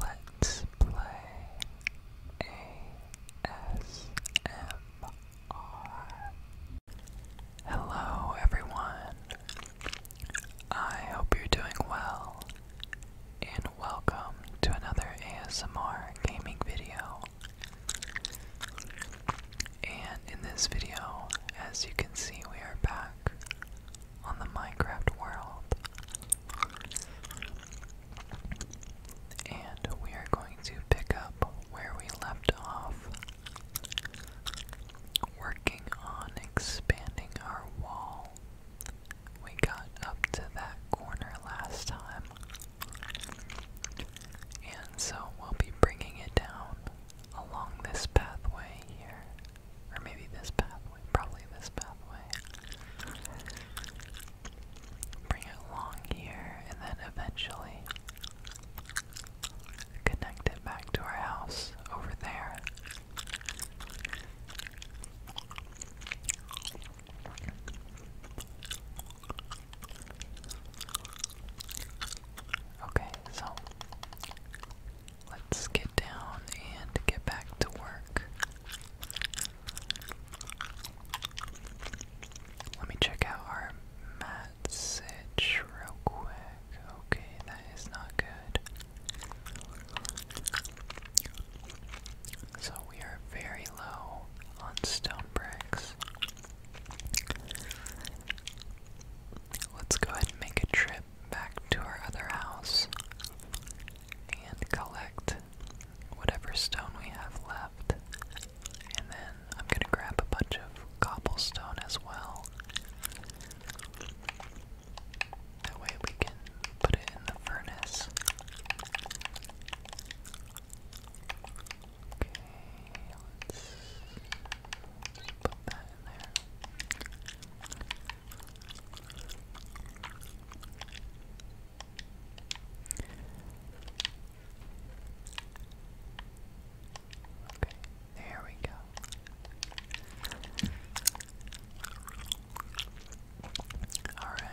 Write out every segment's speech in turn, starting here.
Let's play ASMR. Hello, everyone. I hope you're doing well, and welcome to another ASMR gaming video. And in this video, as you can see, we are back on the Minecraft world. And we are going to pick up where we left off, working on expanding our wall. We got up to that corner last time, and so we'll be bringing it down along this pathway here. Or maybe this pathway. Probably this pathway. Bring it along here and then eventually connect it back to our house over there. Okay, so Let's get down and get back to work. Let me check out our message real quick. Okay, that is not good. So we are very low on stone bricks. Let's go ahead and make a trip back to our other house and collect whatever stone we have left. And then I'm gonna grab a bunch of cobblestone as well. That way we can put it in the furnace. Okay, let's put that in there. Okay, there we go. Alright,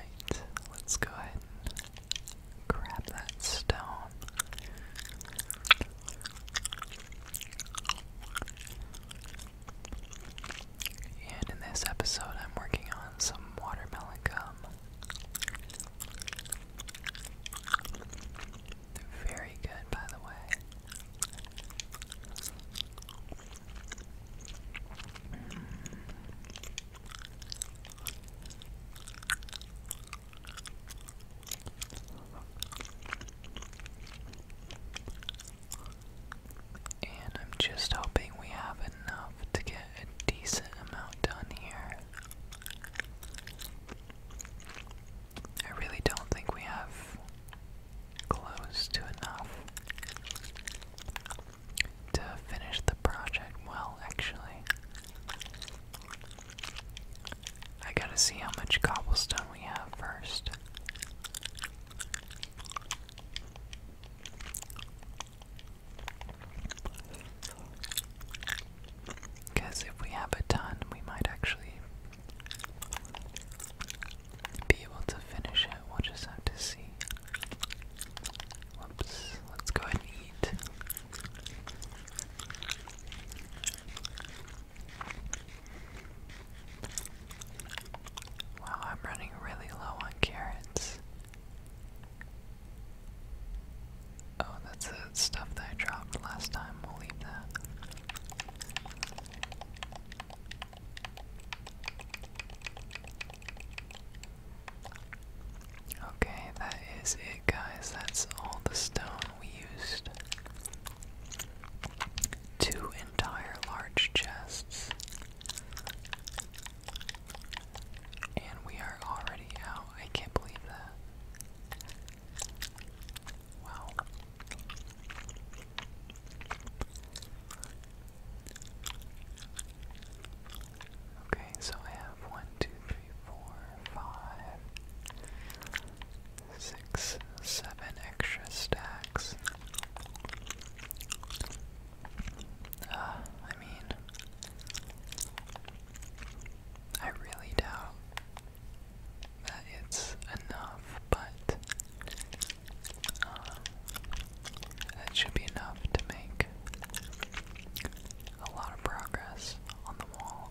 let's go ahead and grab that stone. And in this episode, I'm working on some watermelon gum. They're very good, by the way. And I'm just hoping we have enough to get a decent amount done here. I really don't think we have close to enough to finish the project well, actually. I gotta see how much cobblestone we have first. Because if we have a ton, we might actually be able to finish it. We'll just have to see. Whoops, let's go ahead and eat. Wow, I'm running really low on carrots. Oh, that's the stuff that I dropped last time. We'll leave that. Okay, that is it, guys. That's all the stone we used two entire large chests. And we are already out. I can't believe that. Wow. Okay, so I have one, two, three, four, five, six, seven extra stacks. Uh, I mean, I really doubt that it's enough, but um, should be enough to make a lot of progress on the wall.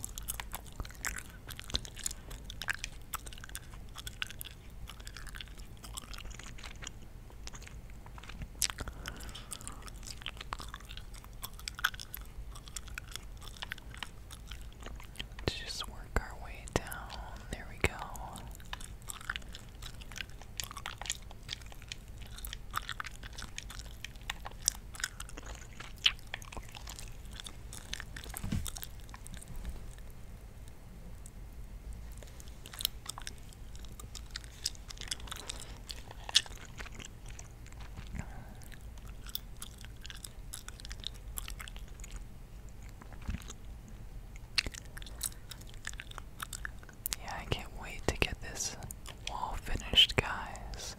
Let's just work our way down. There we go. Yeah, I can't wait to get this wall finished, guys.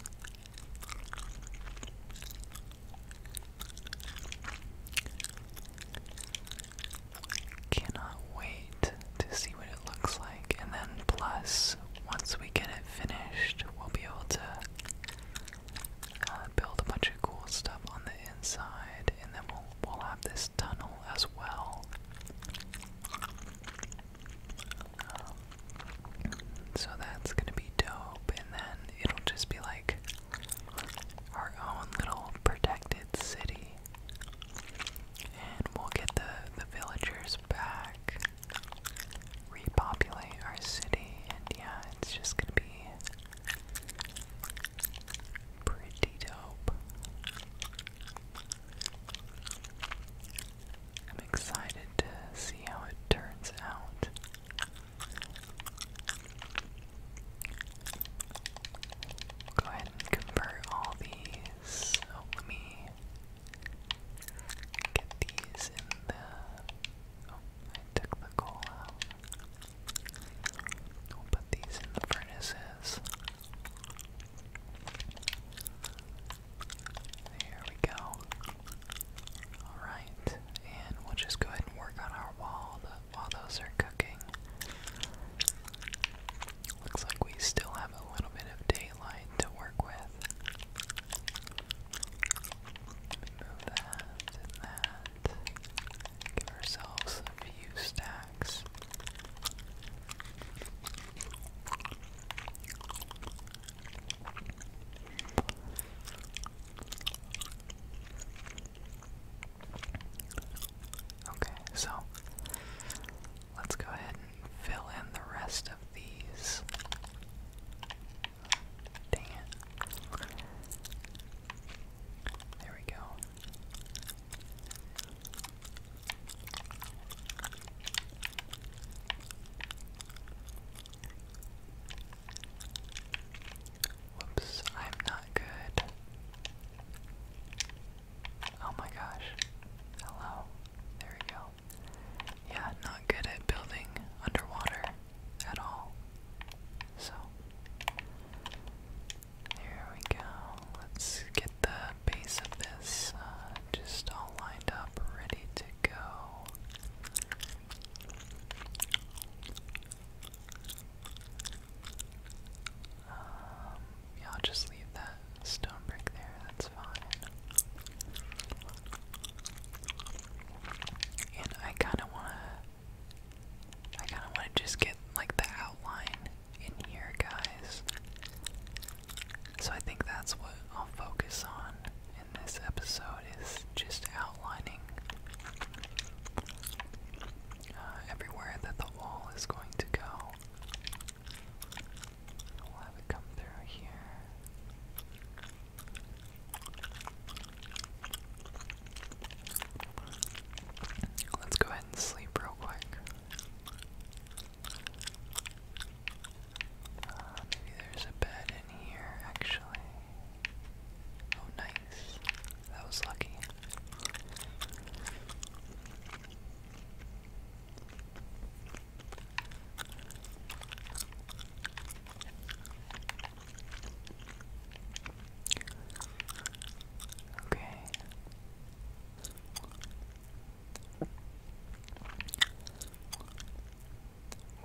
Cannot wait to see what it looks like, and then plus, once we get it finished, we'll be able to uh, build a bunch of cool stuff on the inside, and then we'll we'll have this tunnel as well. Um, so that's gonna be dope, and then it'll just be like our own little protected city. And we'll get the, the villagers back, repopulate our city, and yeah, it's just gonna be pretty dope. I'm excited to see how it turns out. Go ahead and convert all these. Oh, let me get these in the. Oh, I took the coal out. We'll put these in the furnaces. There we go. Alright, and we'll just go ahead and work on our wall, while those are cooking. Looks like we still have a little bit of daylight to work with. Move that and that. Give ourselves a few stacks. Okay, so let's go ahead and fill in the rest of these. Dang it. There we go. Whoops, I'm not good. Oh my gosh. Hello. There we go. Yeah, not good at building underwater at all. So, there we go. Let's get the base of this uh, just all lined up, ready to go. Um, yeah, I'll just leave that stone brick there, that's fine. And I kinda wanna I kinda wanna just get like the outline in here, guys. So I think that's what I'll focus on in this episode is just out outlining uh, everywhere that the wall is going to go. We'll have it come through here. Let's go ahead and sleep real quick. Uh, maybe there's a bed in here, actually. Oh, nice. That was lucky. Okay.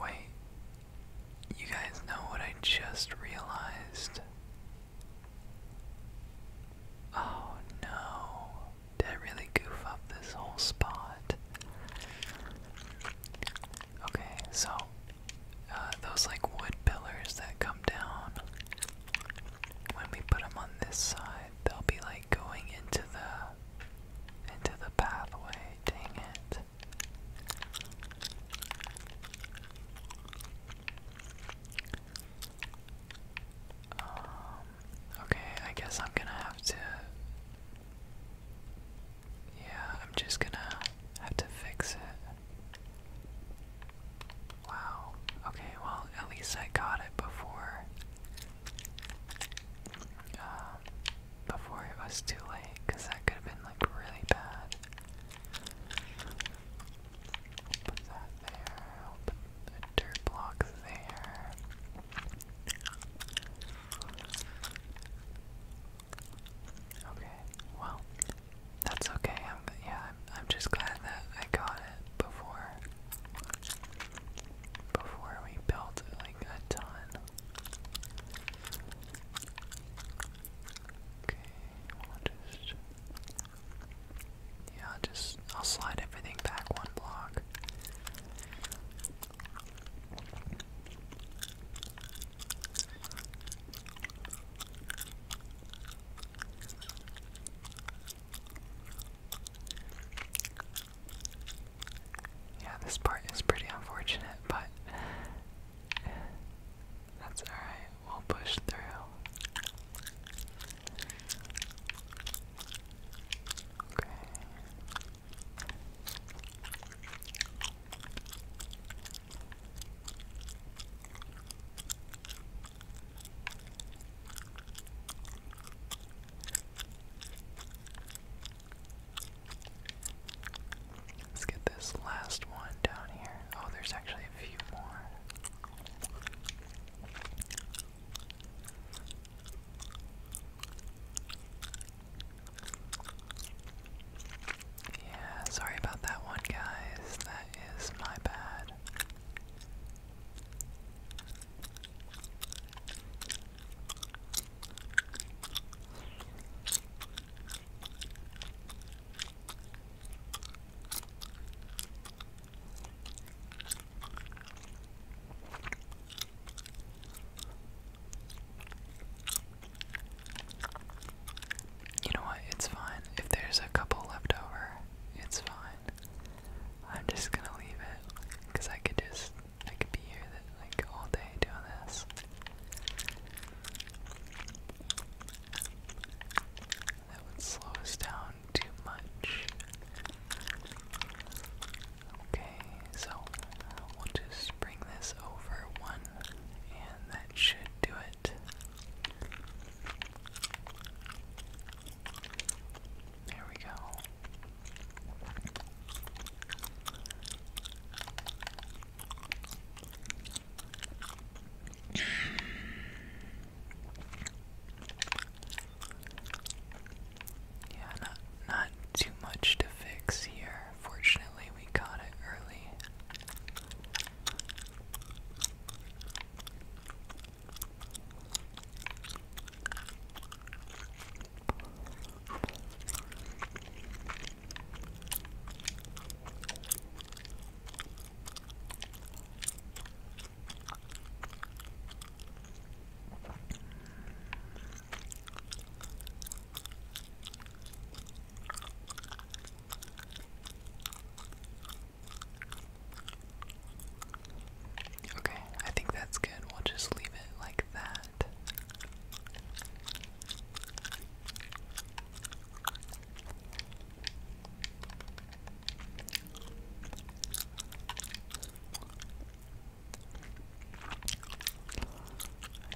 Wait, you guys know what I just realized? Oh no. Did I really goof up this whole spot? Okay, so uh, those like wood pillars that come down, when we put them on this side, they'll be like going into the into the pathway. Dang it! Um, okay, I guess I'm gonna have to. Yeah, I'm just gonna have to fix it. Wow. Okay, well, at least I got it before. Uh, before it was too late, because that could have been like really bad. Put that there. put the dirt block there. Okay, well, that's okay. I'm yeah, I'm, I'm just glad that I got it before before we built like a ton. Okay, Yeah, I'll just I'll slide everything back one block. Yeah, this part is pretty unfortunate, but that's alright, we'll push through. Okay. Let's get this last one down here. Oh, there's actually a few more. Yeah, sorry about that one, guys. That is my bad. You know what? It's fine. If there's a couple left over, it's fine. I'm just gonna leave it because I could just I could be here like all day doing this. That would slow us down too much. Okay, so we'll just bring this over one, and that should do it. There we go. Yeah, not too much to fix here. Fortunately, we got it early. Okay, I think that's good. We'll just leave it like that.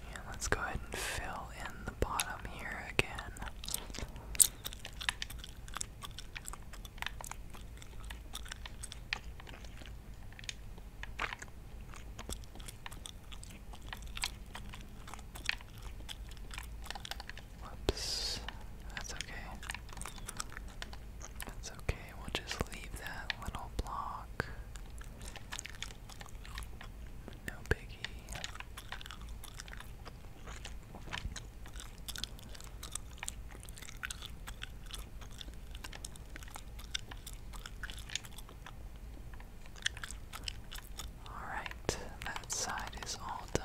And let's go ahead and fill in the bottom here again. Whoops. That's okay. That's okay. We'll just leave that little block. No biggie. Alright, that side is all done.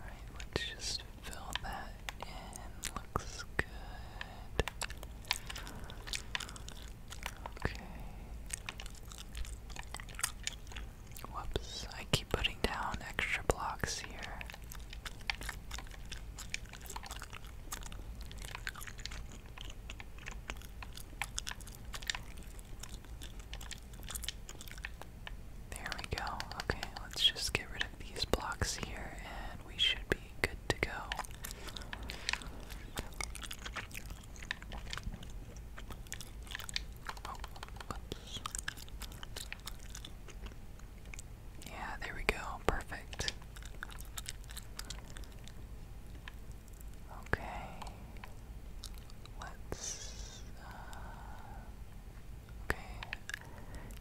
Alright, let's just fill that in. Looks good. Okay. Whoops, I keep putting down extra blocks here. There we go. Okay, let's just get rid of these blocks here and we should be good to go. Oh, yeah, there we go. Perfect. Okay. Let's. Uh, okay.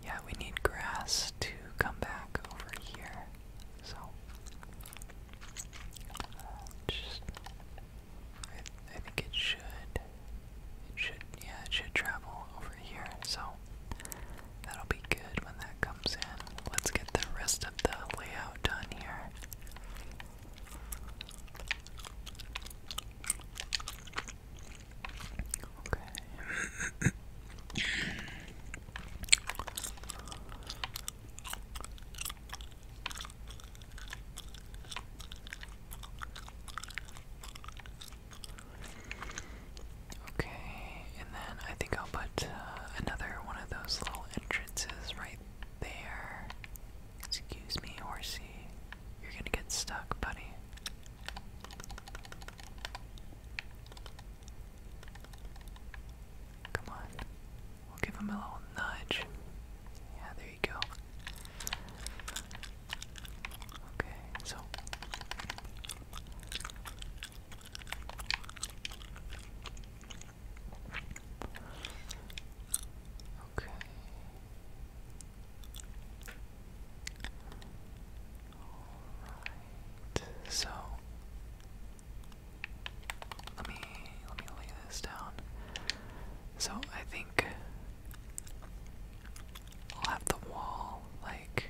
Yeah, we need grass to come back over here. So. Uh, just. I think it should. It should. Yeah, it should travel over here. So. That'll be good when that comes in. Let's get the rest of the layout done here. Okay. Okay, and then I think I'll put uh, another one of those little entrances right there. Excuse me, horsey. You're gonna get stuck, buddy. Come on. We'll give him a little nudge. Yeah, there you go. Okay, so. Okay. Alright. So let me let me lay this down. So I think I'll have the wall like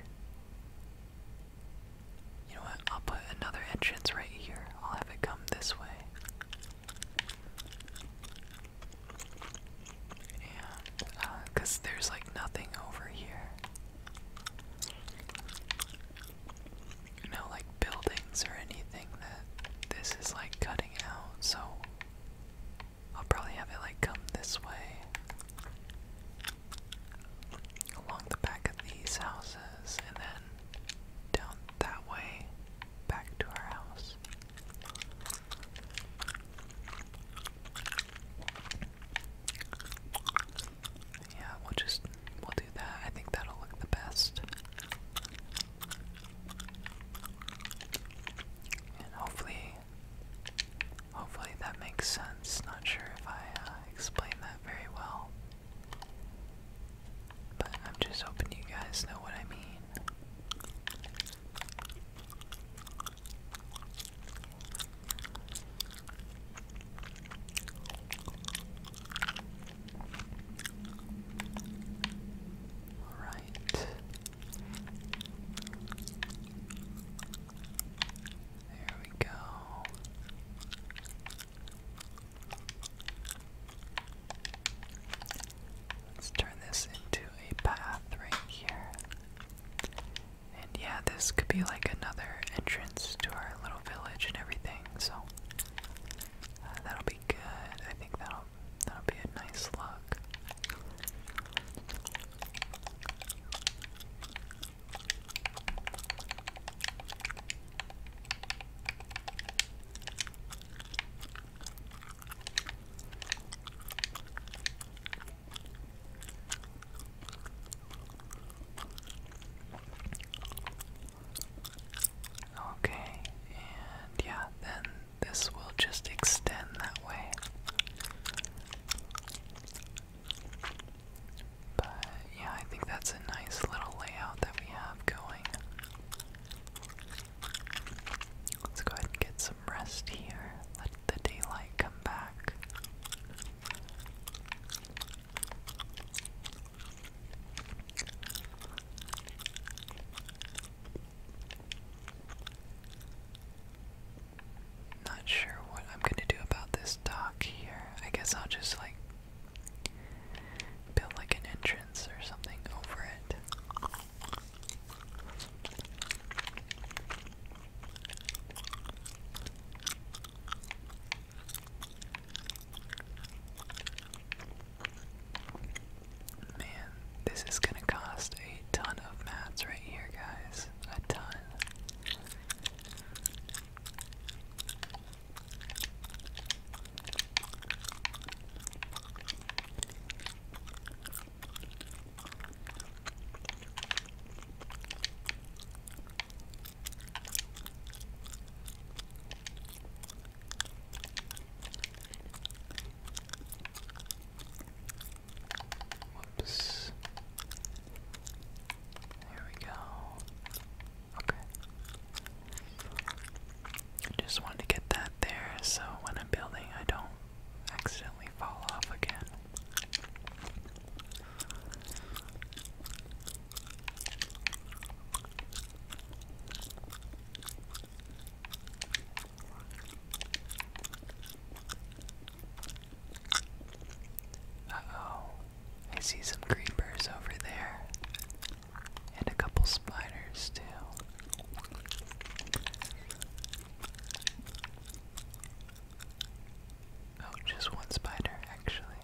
you know what? I'll put another entrance right here. I'll have it come this way. Yeah, uh, cause there's like nothing over here. No like buildings or anything that this is like cutting out, so I'll probably have it like come this way along the back of these houses and then down that way back to our house. Yeah, we'll just we'll do that. I think that'll look the best. And hopefully hopefully that makes sense. Not sure if I uh, explained that very well. But I'm just hoping you guys know what I mean. Alright. There we go. Let's turn this into a path right here. And yeah, this could be like another entrance to our little village and everything, so uh, that'll be good. I think that'll that'll be a nice look. Okay, and yeah, then this will just extend that way. But yeah, I think that's a nice little layout that we have going. Let's go ahead and get some rest here. Let the daylight come back. Not sure what I'm gonna do about this dock here. I guess I'll just like Build like an entrance or something over it. Man, this is gonna cost a ton of mats right here, guys. A ton. Whoops. There we go. Okay. just wanted to get that there so when I'm building, I don't accidentally fall off again. oh, I see some creepers over there. And a couple spiders, too. Oh, just one spider, actually.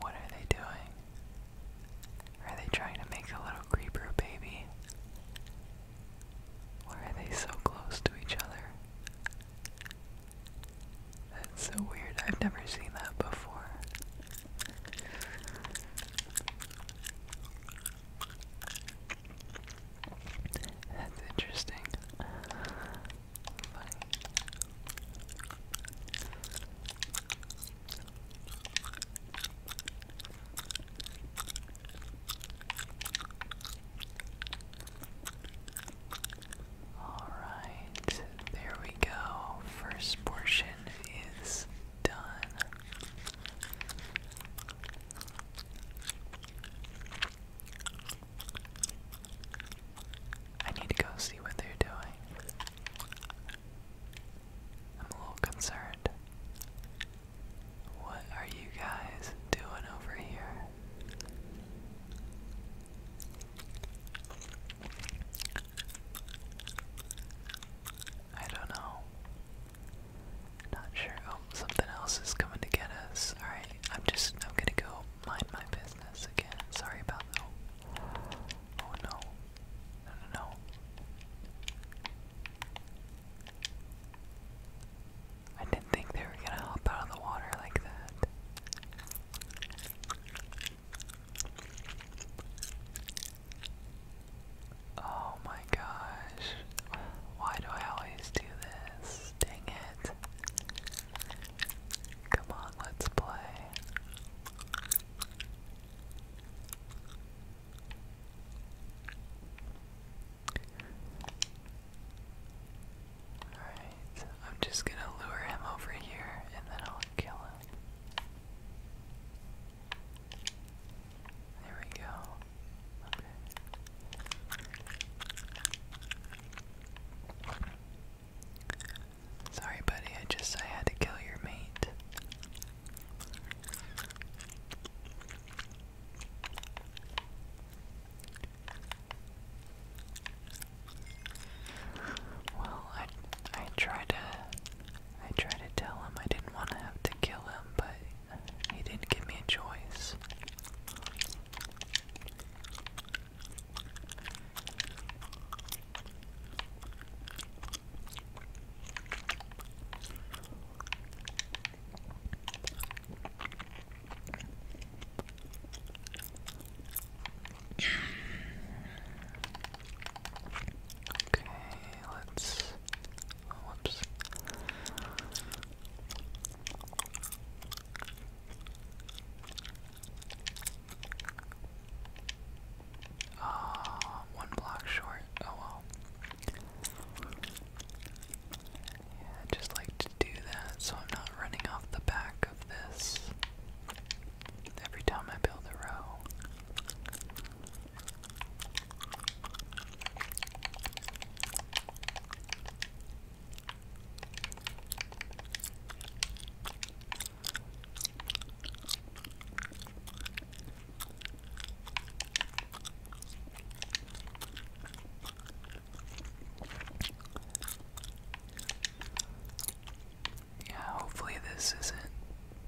What are they doing? Are they trying to make a little creeper baby? Why are they so close to each other? That's so weird. I've never seen that before. That's interesting. Funny. Alright, there we go. First portion is done. I need to go see what they're doing. I'm a little concerned. What are you guys doing over here? I don't know. Not sure. Oh, something else is coming to get us. Alright, I'm just I'm gonna go mind my business again. Sorry about that. Oh no. No no no. I didn't think they were gonna hop out of the water like that. Oh my gosh. Why do I always do this? Dang it. Come on, let's play. Alright. I'm just gonna lure him over here and then I'll kill him. There we go. Sorry, buddy, I just I had to kill your mate. Well, I I tried to I tried to tell him I didn't want to have to kill him, but he didn't give me a choice. Okay, let's. whoops. Ah, uh, one block short. Oh well. Yeah, just like to do that so I'm not running off the back of this. Every time I build a row yeah, hopefully this isn't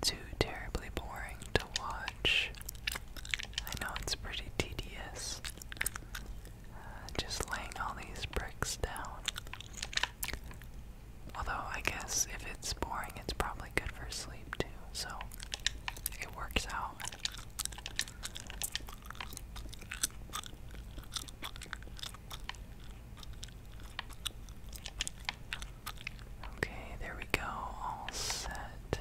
too terribly boring to watch. I know it's pretty tedious. Uh, just laying all these bricks down. Although, I guess if it's boring, it's probably good for sleep too, so it works out. Okay, there we go, all set.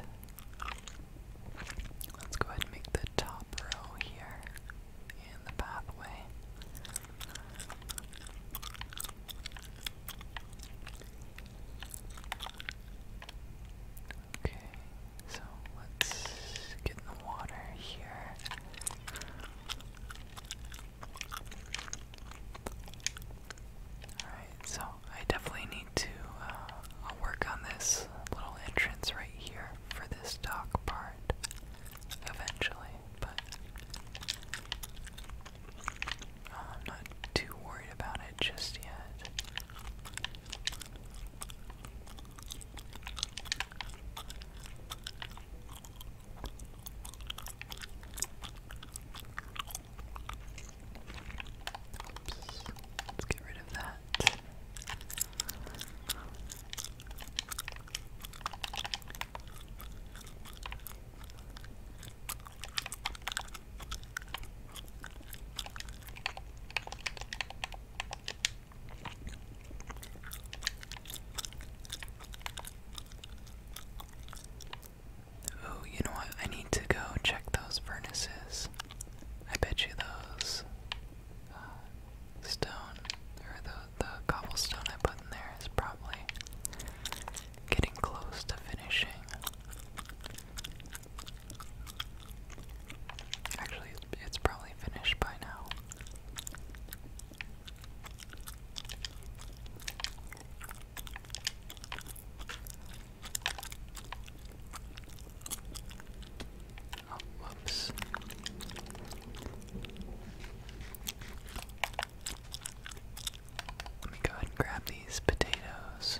Let's go ahead and make the top row here and the pathway. Okay, so let's get the water here. Alright, so I definitely need to, uh, work on this little entrance right here for this dock part eventually, but uh, I'm not too worried about it just yet. Oops. Let's get rid of that. Oh, you know what? I need to go check those furnaces. I bet you those uh, stone or the the cobblestone I put in there is probably getting close to finishing. Actually, it's probably finished by now. Oops. Let me go ahead and grab these potatoes.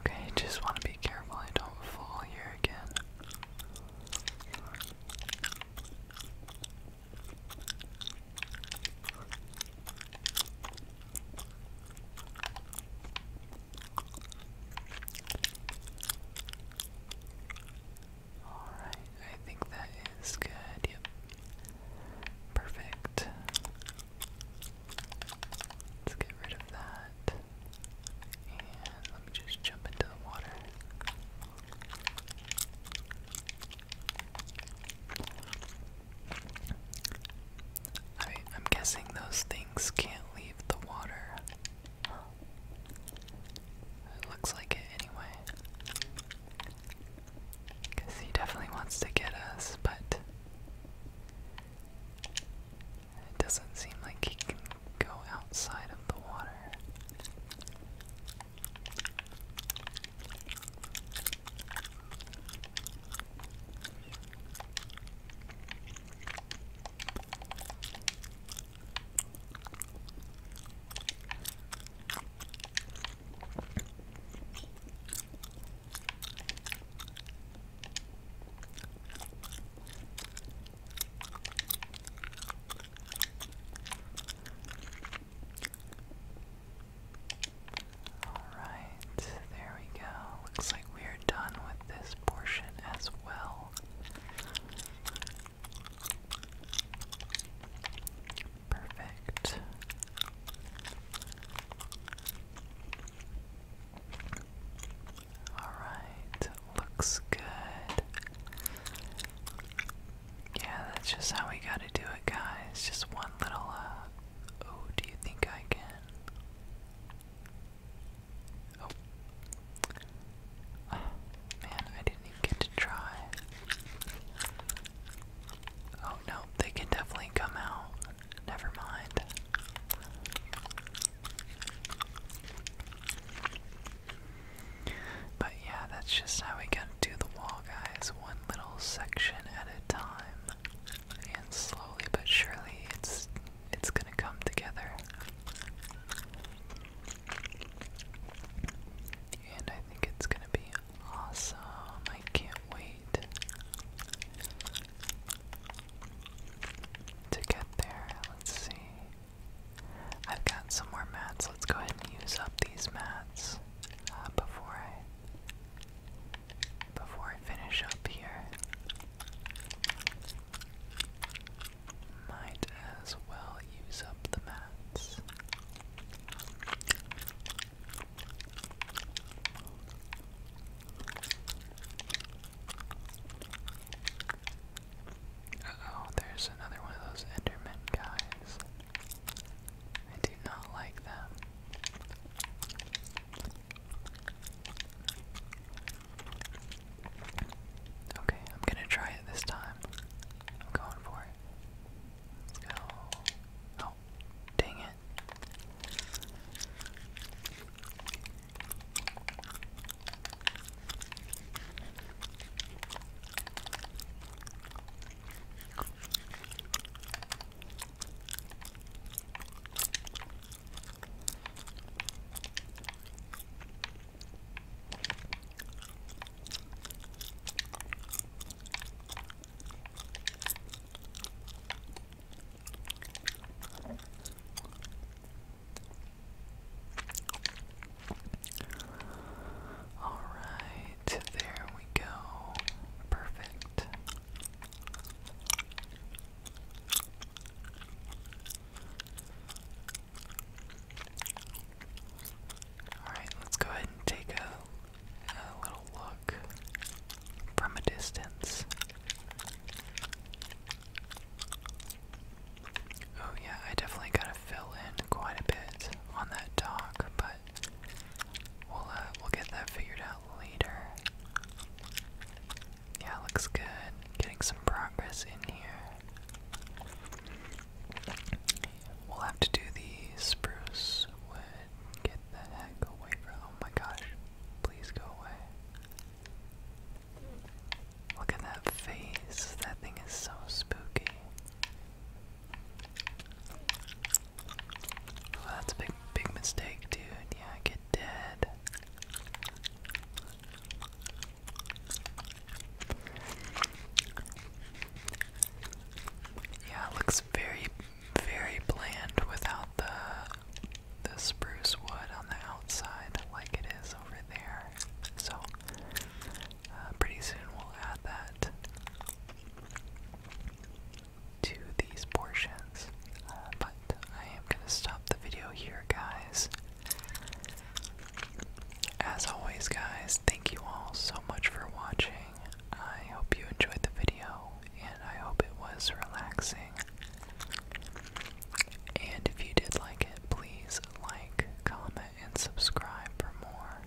Okay, just want to be careful I don't fall here again. Alright, I think that is good. Yep. Perfect. Let's get rid of that. And let me just jump into the water. I, am guessing those things can't leave the water. It looks like it anyway. Because he definitely wants to get us, but it doesn't seem like he can go outside of the water. Alright, there we go. Looks like we're done with this portion as well. Perfect. Alright, looks good. Yeah, that's just how we gotta do it, guys. Just one little, Oh, do you think I can? Oh. Oh, man, I didn't even get to try. Oh no, they can definitely come out. Never mind. But yeah, that's just how we gotta do the wall, guys. One little section at a time. And slowly but surely it's it's gonna come together and I think it's gonna be awesome. I can't wait to get there. Let's see. I've got some more mats. Let's go ahead and use up these mats uh, before I before I finish up here. Might as well use up the mats. oh, there's another one of those Enderman guys. I do not like them. Okay, I'm gonna try it this time time. I'm going for it. Let's go. Oh, dang it. All right, there we go. Perfect. Alright, let's go ahead and take a, little look from a distance. Oh, yeah, I definitely gotta fill in quite a bit on that dock, but we'll, uh, we'll get that figured out later. Yeah, looks good. Getting some progress in here. We'll have to do the spruce wood. Get the heck away from. Oh my gosh. Please go away. Look at that face. That thing is so spooky. that's a big, big mistake, dude. Yeah, get dead. Yeah, it looks very, very bland without the the spruce wood on the outside, like it is over there. So uh, pretty soon we'll add that to these portions. Uh, but I am gonna stop the video here, guys. As always, guys, thank you all so much for watching. I hope you enjoyed the video, and I hope it was relaxing. And if you did like it, please like, comment, and subscribe for more.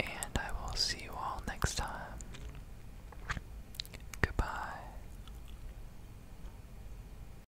And I will see you all next time. Goodbye.